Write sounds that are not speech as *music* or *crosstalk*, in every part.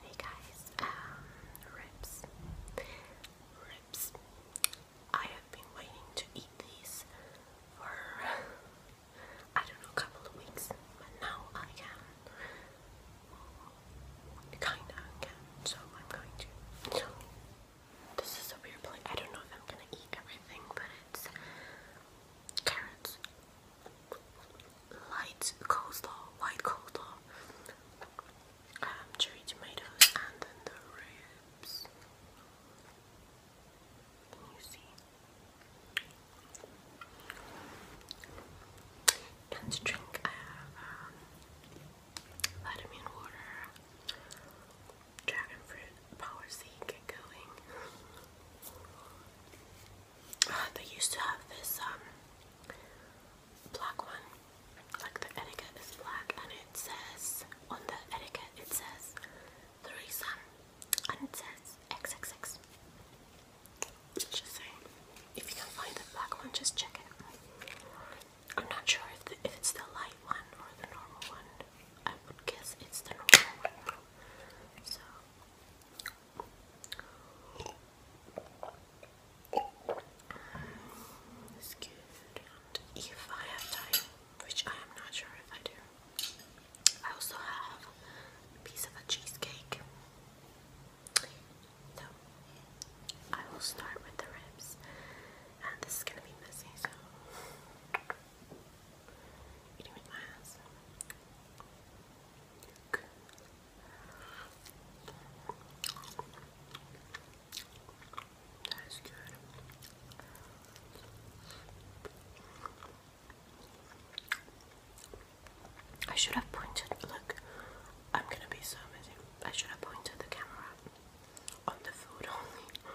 Hey guys, um, ribs, ribs. I have been waiting to eat these for *laughs* I don't know, a couple of weeks, but now I can. Kinda can, so I'm going to. this is a weird plate. I don't know if I'm gonna eat everything, but it's carrots, light coleslaw, white coleslaw, um, cherry tomatoes, and then the ribs. Can you see? And to drink, I have um, vitamin water, dragon fruit, power seed, get going. Uh, they used to have this um, black one, like the etiquette is black, and it says on the etiquette it says three sun, and it says XXX. Just saying, if you can find the black one, just check it. I'm not sure if it's the light one or the normal one. I would guess it's the normal one. So it's good. if I have time, which I am not sure if I do, I also have a piece of a cheesecake. So I will start with the ribs, and this is gonna be messy, so eating with that's good. I should have pointed. Look, I'm gonna be so busy. I should have pointed the camera on the food only.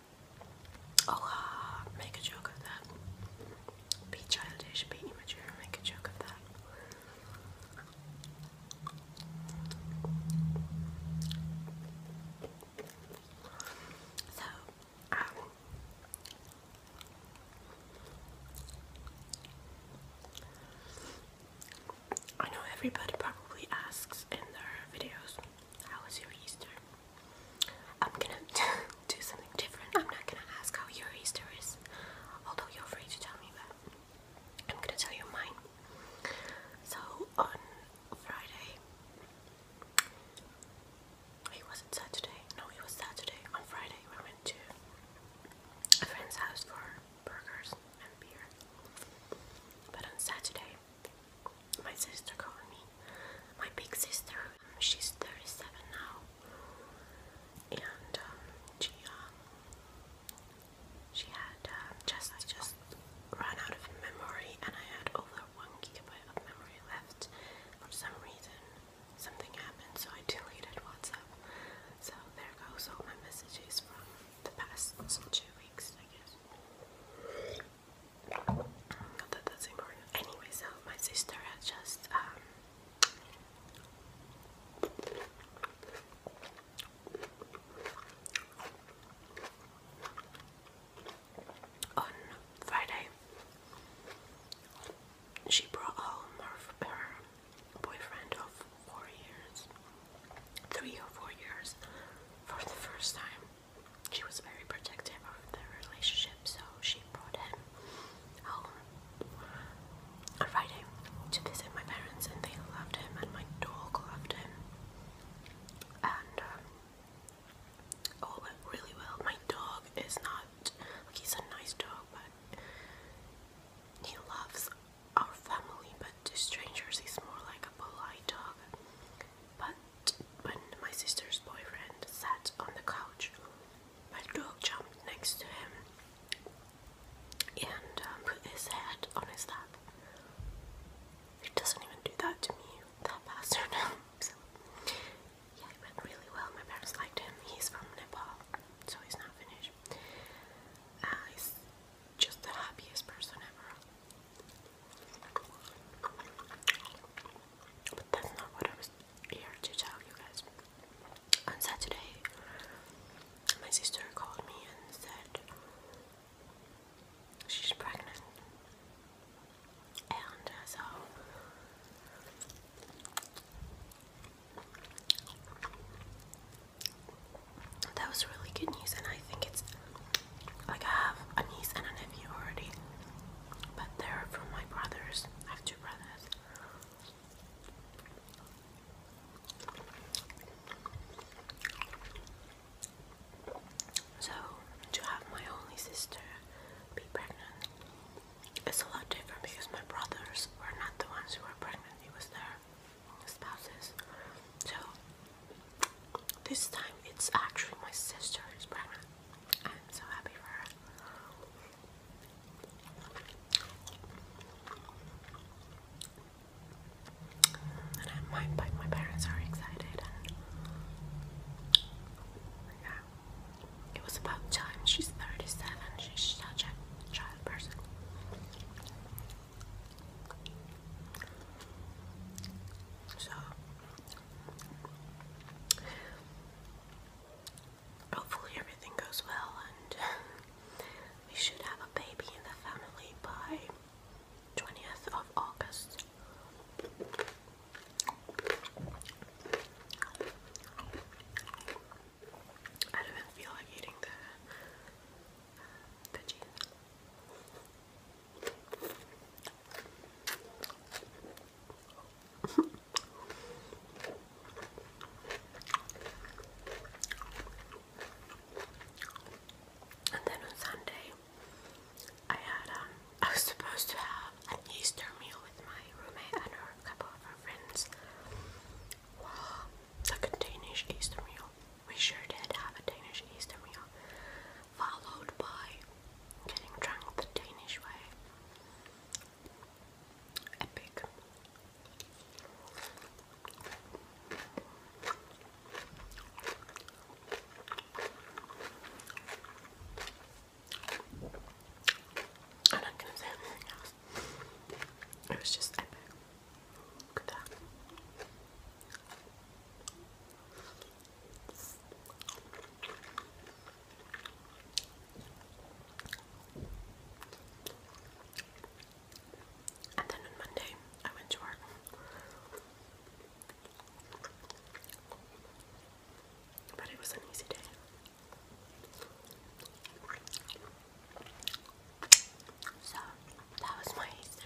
Oh, uh, make a joke of that. Be childish, be immature, make a joke of that. So, um, I know everybody probably asks in their videos how was your Easter? I'm gonna *laughs* do something different. I'm not gonna ask how your Easter is, although you're free to tell me that. I'm gonna tell you mine. So on Friday, it wasn't Saturday. No, it was Saturday. On Friday, we went to a friend's house for burgers and beer. But on Saturday, my sister called me, my big sister. she's 37 now, and um, she um, she had um, just I just ran out of memory, and I had over one gigabyte of memory left. For some reason, something happened, so I deleted WhatsApp. So there goes all my messages from the past two weeks, I guess. Anyway, so my sister had just um, on Friday she brought home her boyfriend of four years three or four years for the first time. She was very protective of the relationship, so she brought him home on Friday to visit my parents, and they loved him, and my dog loved him. And um, all went really well. My dog is not he's a nice dog, but he loves our family, but to strangers he's more like a polite dog. But when my sister's boyfriend sat on the couch, my dog jumped next to him and um, put his head on his lap. He doesn't even do that to me, that bastard. *laughs* so, yeah, it went really well. My parents liked him. He's from Nepal, so he's not Finnish. Uh, he's just the happiest person ever. But that's not what I was here to tell you guys. On Saturday, my sister called me and said she's pregnant. And so that was really good news, and I think it's like I have a niece and a nephew already, but they're from my brothers. I have two brothers. So, to have my only sister be pregnant is a lot different because my brothers were not the ones who were pregnant, it was their spouses. So this time it's actually my sister who's pregnant. I'm so happy for her. And I my parents are excited yeah. It was about time. She's 37. She's such a child. So hopefully everything goes well and *laughs* we should have a baby in the family by 20th of August. I don't even feel like eating the veggies. *laughs* and then on Sunday, I had um, I was supposed to have an Easter meal with my roommate and her couple of her friends. a Danish Easter meal. We sure did have a Danish Easter meal, followed by getting drunk the Danish way. Epic. I'm not gonna say anything else. It was just epic. at And then on Monday, I went to work. But it was an easy day. So that was my Easter.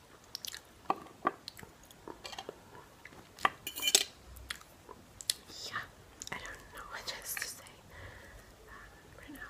Yeah, I don't know what else to say uh, right now.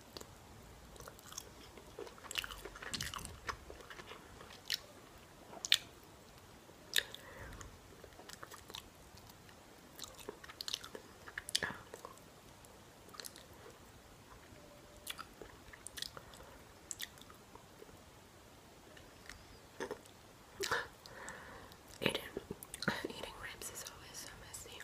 Eating, *laughs* eating ribs is always so messy.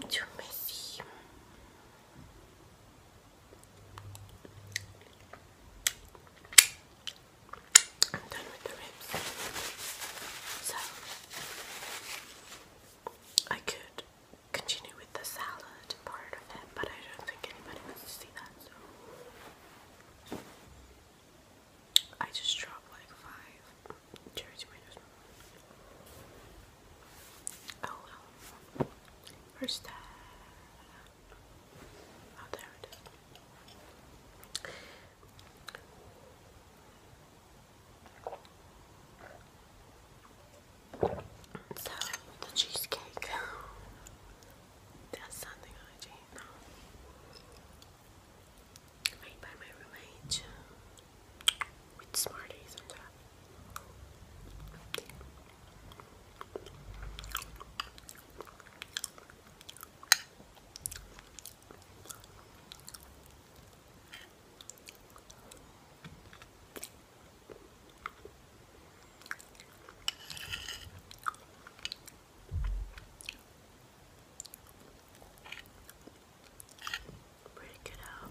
Mucho messy. I'm done with the ribs. So I could continue with the salad part of it, but I don't think anybody wants to see that, so I just dropped like five Oh well. Where's that? Oh, there it is. So, the cheesecake. That's something I did. Made by my roommate. With Smarties on top. Break it out.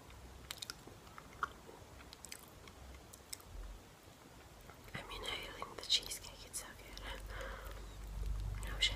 I mean, I think the cheesecake is so good. *laughs* No shame.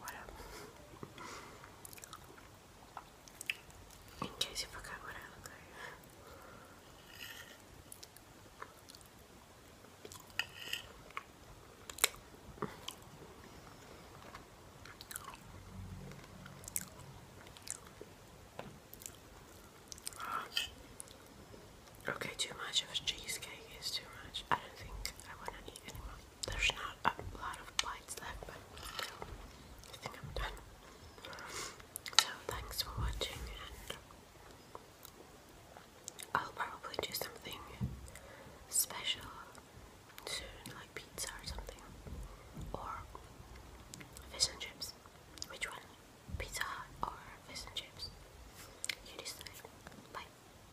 Voilà. In case you forgot what I look like. Okay, too much of a cheesecake is too much. I don't think I want to eat anymore. There's not a lot of bites left, but I think I'm done. So thanks for watching, and I'll probably do something special soon, like pizza or something, or fish and chips. Which one? Pizza or fish and chips? You decide. Bye.